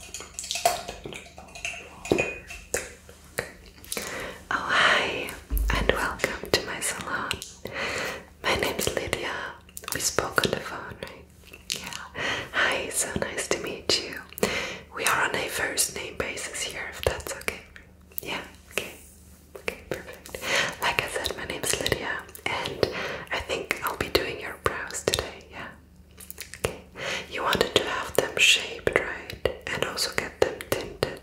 Oh, hi, and welcome to my salon. My name's Lydia. We spoke on the phone, Yeah. Hi, so nice to meet you. We are on a first name basis here, if that's okay. Yeah, okay. Okay, perfect. Like I said, my name is Lydia, and I think I'll be doing your brows today, yeah? You wanted to have them shaped, right? And also get them tinted.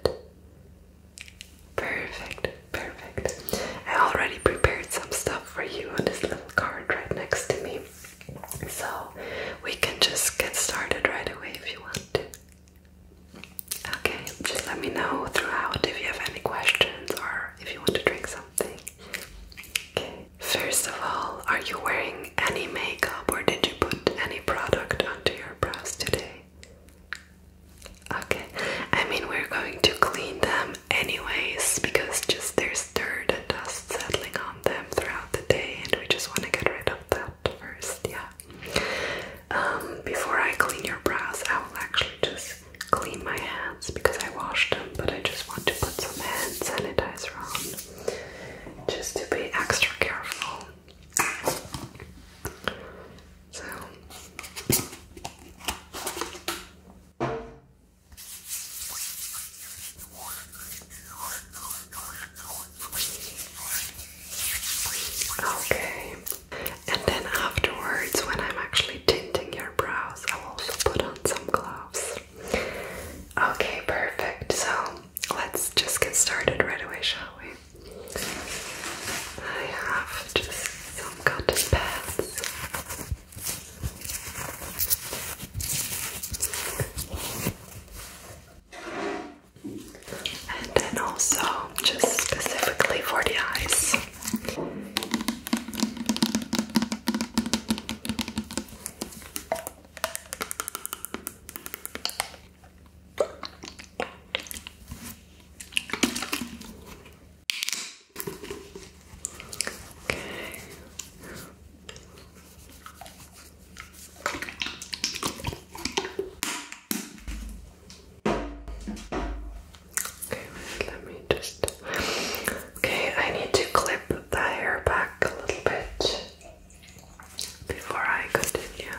Perfect, perfect. I already prepared some stuff for you on this little card right next to me. So we can just get started right away if you want to. Okay, just let me know throughout if you have any questions or if you want to drink something. Okay. First of all, are you wearing any makeup or did you put any product onto your brows today? Okay, I mean, we're going to clean them anyways because just there's dirt and dust settling on them throughout the day, and we just want to get rid of that first, yeah. Um, before I clean your brows, I will actually just clean my hands because I washed them, but I just want to put some hand sanitizer on just to be extra careful. Okay, and then afterwards, when I'm actually tinting your brows, I'll also put on some gloves. Okay, perfect. So let's just get started right away, shall we? I have just some cotton pads. And then also, just specifically for the eyes. Okay. Okay, wait, let me just Okay, I need to clip the hair back a little bit before I continue.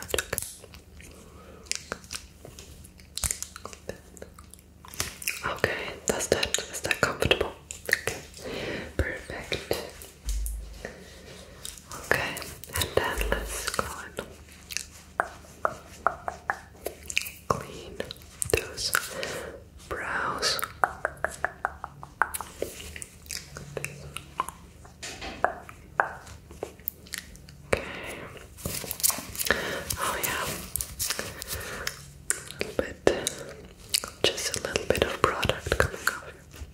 Okay, that's that. Is that comfortable? Okay, perfect. Okay, and then let's go and clean those brows. Okay. Oh yeah. A bit, just a little bit of product coming off.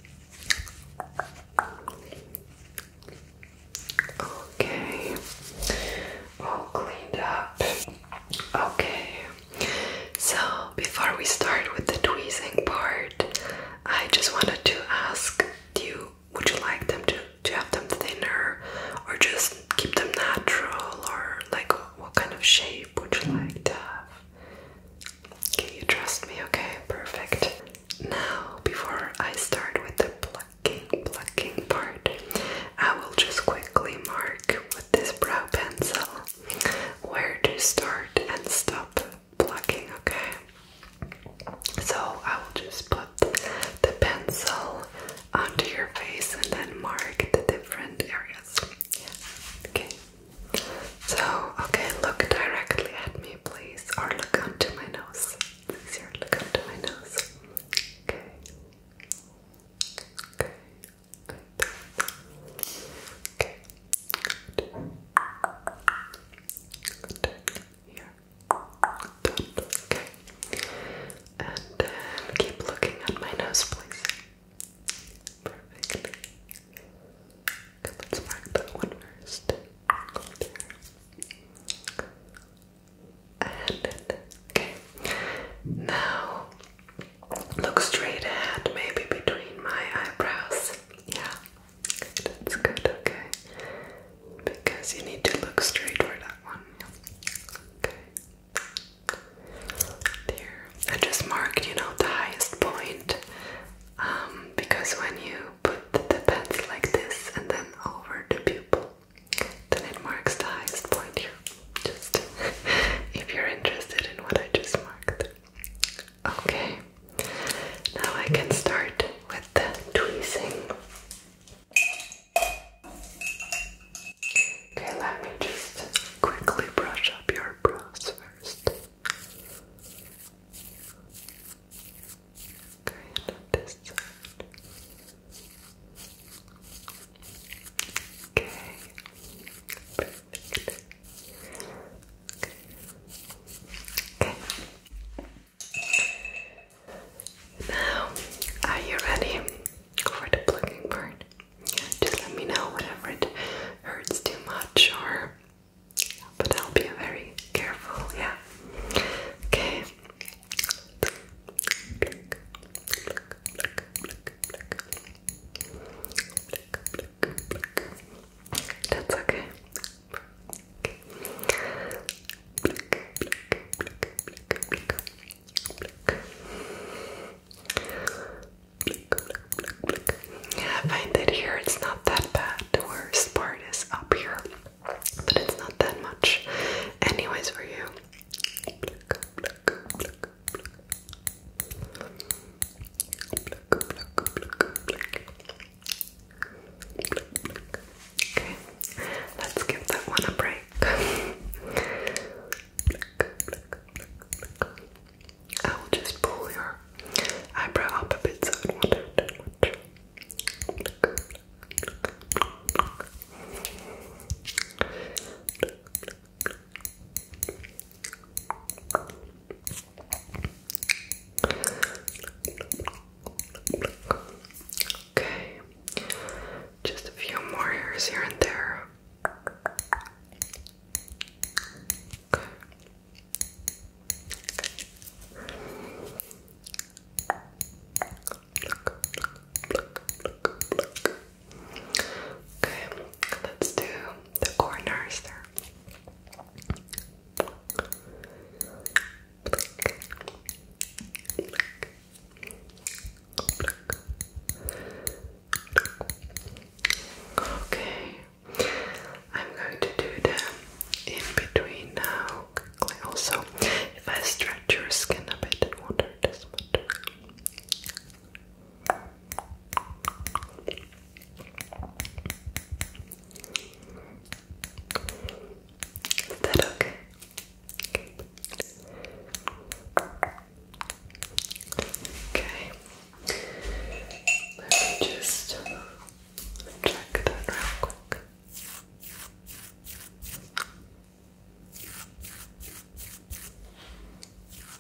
Okay, all cleaned up. Okay, so before we start with the tweezing part, I just wanted to ask you would you like them to, to have them thinner or just keep them natural or like what kind of shape would you like to have? Can you trust me? Okay, perfect. Now, before I start with the plucking, plucking part, I will just quickly mark with this brow pencil where to start and stop plucking, okay? So I will just put the pencil onto your face and then mark the different areas. Okay. So, okay, look directly at me, please, or look onto my nose. It's easier. Look onto my nose. Okay. Okay. Good. Here. Okay. And keep looking at my nose, please. Perfectly. let's mark that one first. And okay. Now Look straight ahead, maybe between my eyebrows. Yeah, that's good, okay. Because you need to look straight for that one. Okay. There. I just marked, you know, the highest point. Um, because when you put the pencil like this and then over the pupil, then it marks the highest point here just if you're interested in what I just marked. Okay, now I can start with the tweezing. Okay, let me just quickly brush up your brows first. Okay, now, are you ready for the plucking part? Just let me know whenever it hurts too much, or but I'll be very careful. Yeah. Okay. That's okay. Yeah, I find that here it's not that bad. The worst part is up here, but it's not that much, anyways, for you. Okay, let's give that one a break. I will just pull your eyebrow up a bit so I do not hurt much. Okay, Okay, just a few more hairs here and there. Okay, let's do the corners there. Okay, I'm going to do the in between now Also, if I stretch your skin a bit, it will is that okay? Okay. Let me just check that real quick.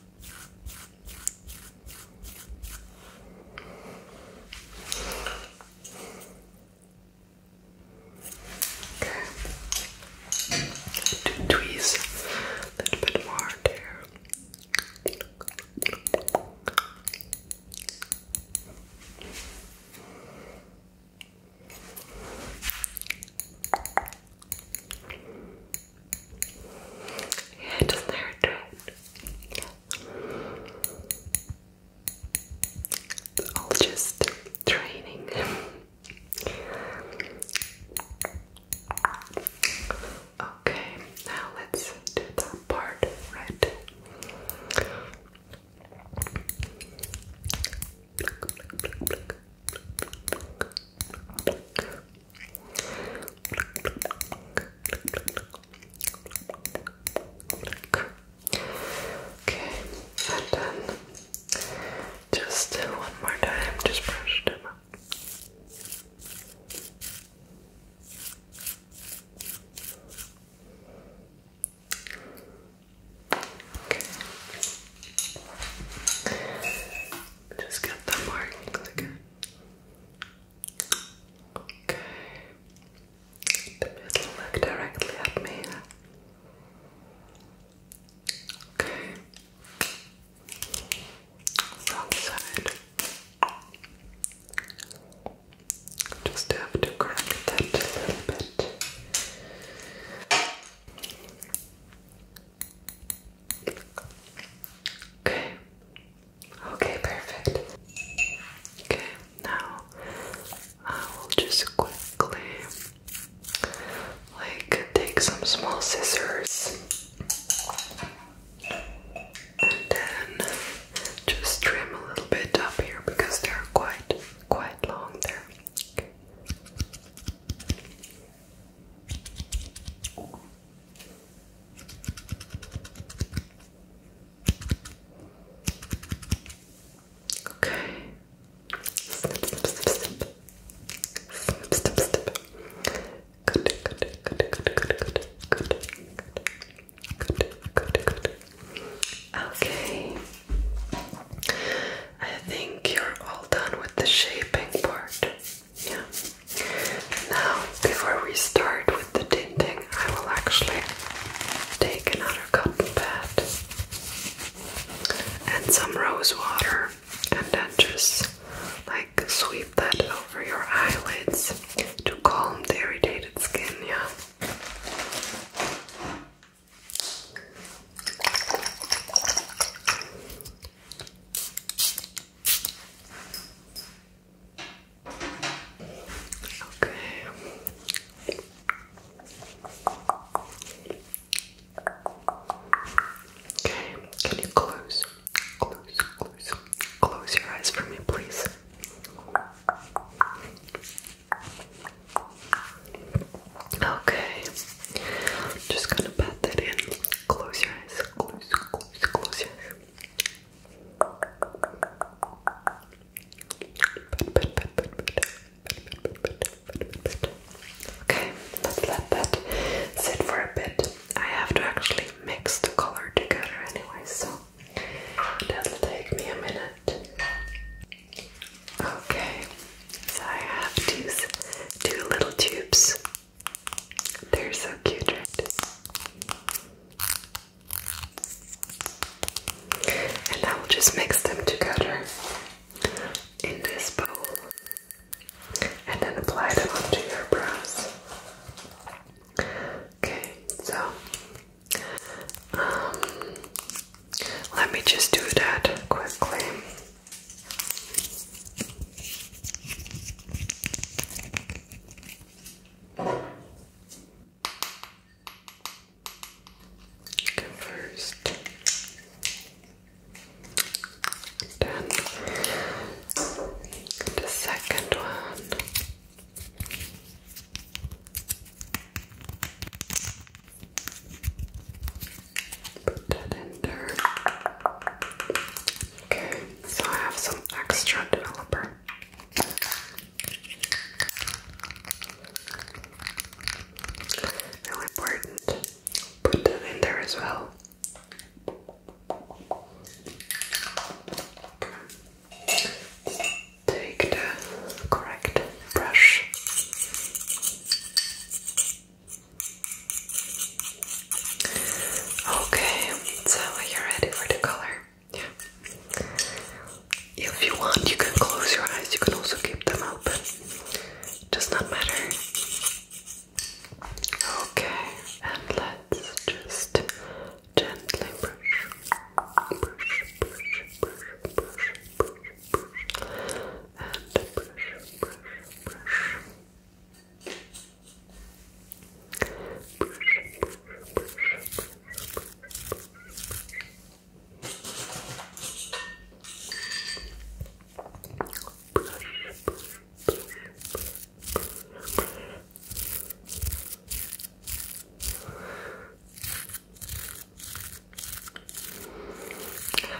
Okay. To tweeze a little bit more there. Yeah, it not hurt, all just training. okay, now let's do that part, right? Okay, and then just one more time, just brush them up. Okay. Just get the markings again. Okay. The middle look directly at me. Okay. Front side. Just have to correct that a little bit. Okay. Okay, perfect. Okay, now I will just quickly like take some small scissors and then just trim a little bit up here because they're quite quite long there. Okay. Snip, snip, snip, snip. Snip, snip, snip. Good, good, good, good, good, good, good, good, good, good. Okay. I think you're all done with the shaping part. Yeah. Now, before we start with the tinting, I will actually take another cotton pad and some rose water and then just like sweep that over your eyelids to calm the irritated skin, yeah. Okay. Okay, can you close, close, close, close your eyes for me, please? Okay, just gonna pat that in Close your eyes. Close, close, close your eyes. Okay, let's let that sit for a bit. I have to actually mix the color together anyway, so that'll take me a minute. Okay, so I have these two little tubes they're so cute, right? And I will just mix them together in this bowl and then apply them onto your brows. Okay, so um, let me just do that quickly. Go first. Then the second one. Put that in there. Okay, so I have some extra developer. Really important. Put that in there as well. Take the correct brush. Okay, so are ready for the color? Yeah. If you want, you can close your eyes, you can also keep them open. does not matter. Okay, and let's just gently brush, brush, brush, brush, brush, brush, brush, and brush, brush, brush.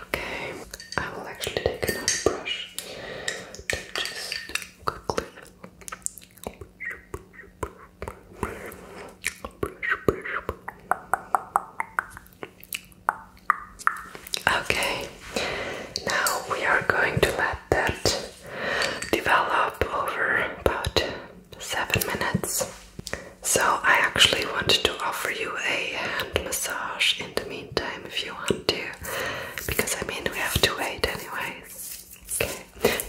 Okay, I will actually take another brush. Okay, now we are going to let that develop over about seven minutes. So, I actually wanted to offer you a hand massage in the meantime if you want to because I mean we have to wait anyways. Okay.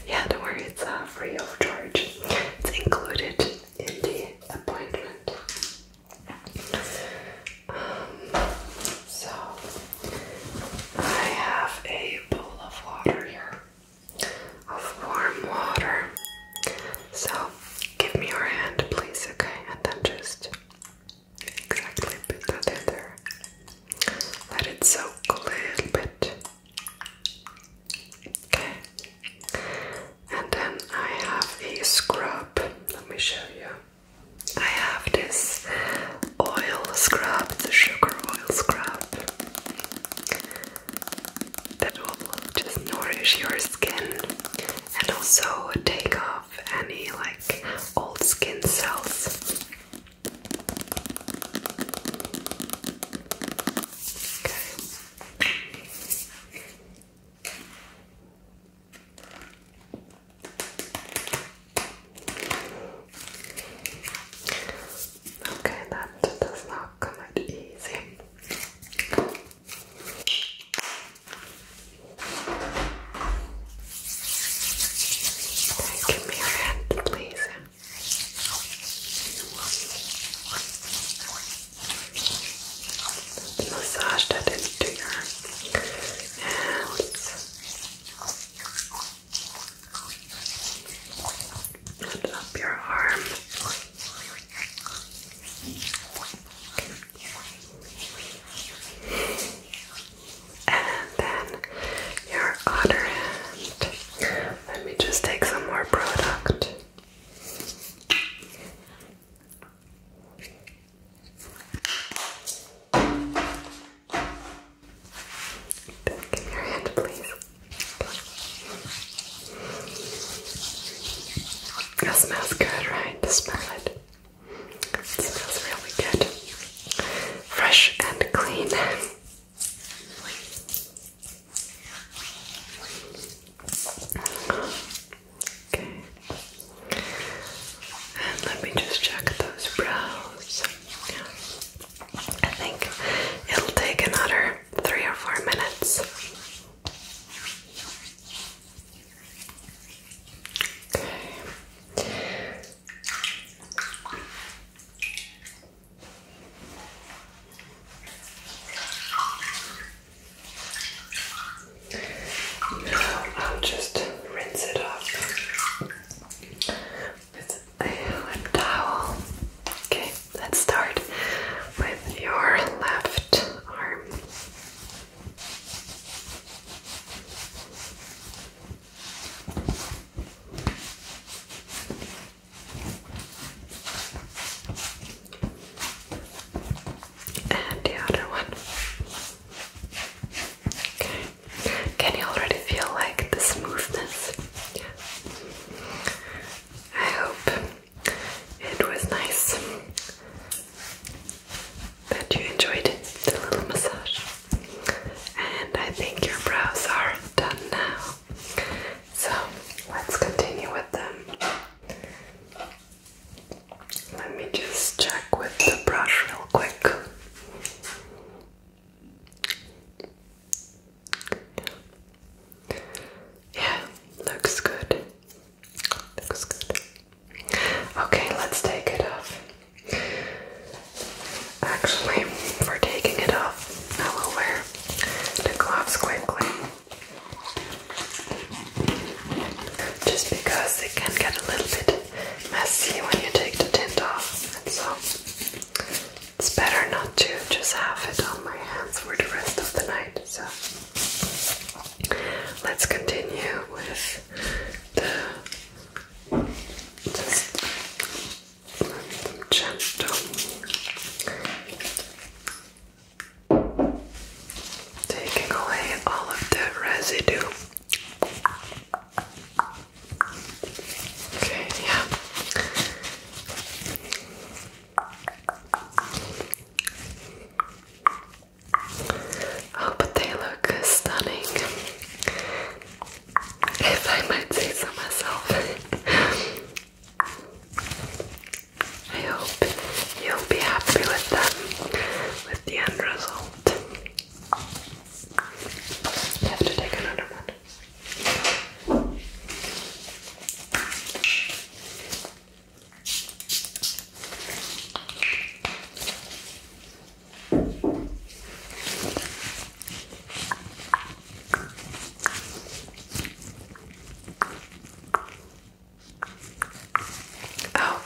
Yeah, don't worry, it's uh, free of charge. It's included in the appointment. Um, so I have a bowl of water here, of warm water. So give me your hand, please, okay? And then just exactly put that in there. Let it soak a little bit. Okay. And then I have a scrub. Let me show you. I have this oil scrub, it's a sugar oil scrub that will just nourish your skin and also take off any like old skin cells. Okay. that does not come out easy. Okay, give me your hand, please. Massage that into your hands. Lift up your arm. And then your other hand. Let me just take some more product. Give your hand, please. That smells good, right? Smell it smells really good. Fresh and clean. Okay. And let me just check those brows. I think it'll take another three or four minutes. Okay. I'll just rinse it off with a towel. Okay, let's start with your left arm. And the other one. Okay. Can you already feel like the smoothness? I hope it was nice that you enjoyed the little massage. And I think your brows are done now. So let's continue with them. Let me just check with the brush real quick. Yeah, looks good. Okay, let's take it off. Actually, for taking it off, I will wear the gloves quickly. Just because it can get a little bit messy when you take the tint off, so it's better not to just have it on my hands for the rest of the night. So Let's continue with the just gentle taking away all of the residue. Okay, yeah. Oh, but they look stunning. If I might say so myself. I hope you'll be happy with them, with the end result. have to take another one. Okay,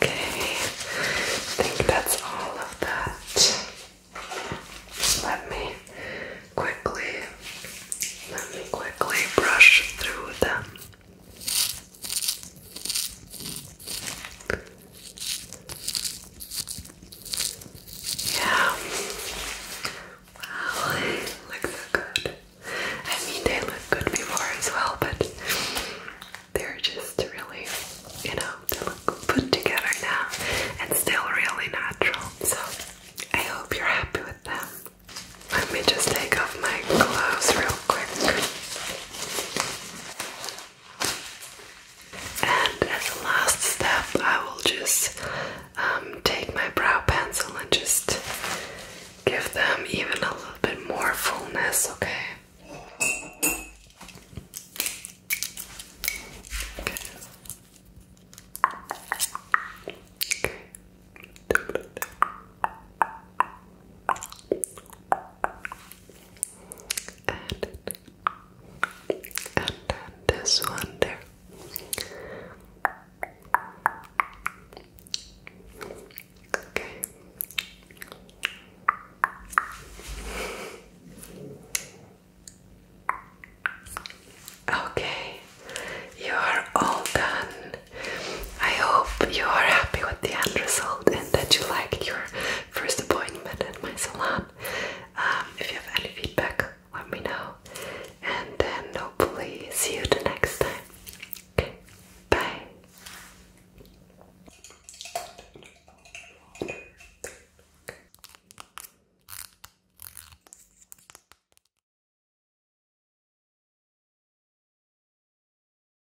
I think that's all of that. Let me quickly, let me quickly brush through the yeah. Wow, they good. I mean, they look good before as well, but they're just really, you know, they look put together now and still really natural. So I hope you're happy with them. Let me just take off my gloves real quick. And as a last step, I will just um, take my brow pencil and just give them even a little bit more fullness, okay and, and then this one there. Okay. Okay, you are all done. I hope you are happy with the end result and that you liked your first appointment at my salon. Um, if you have any feedback, let me know. And then hopefully see you the next time. Okay, bye.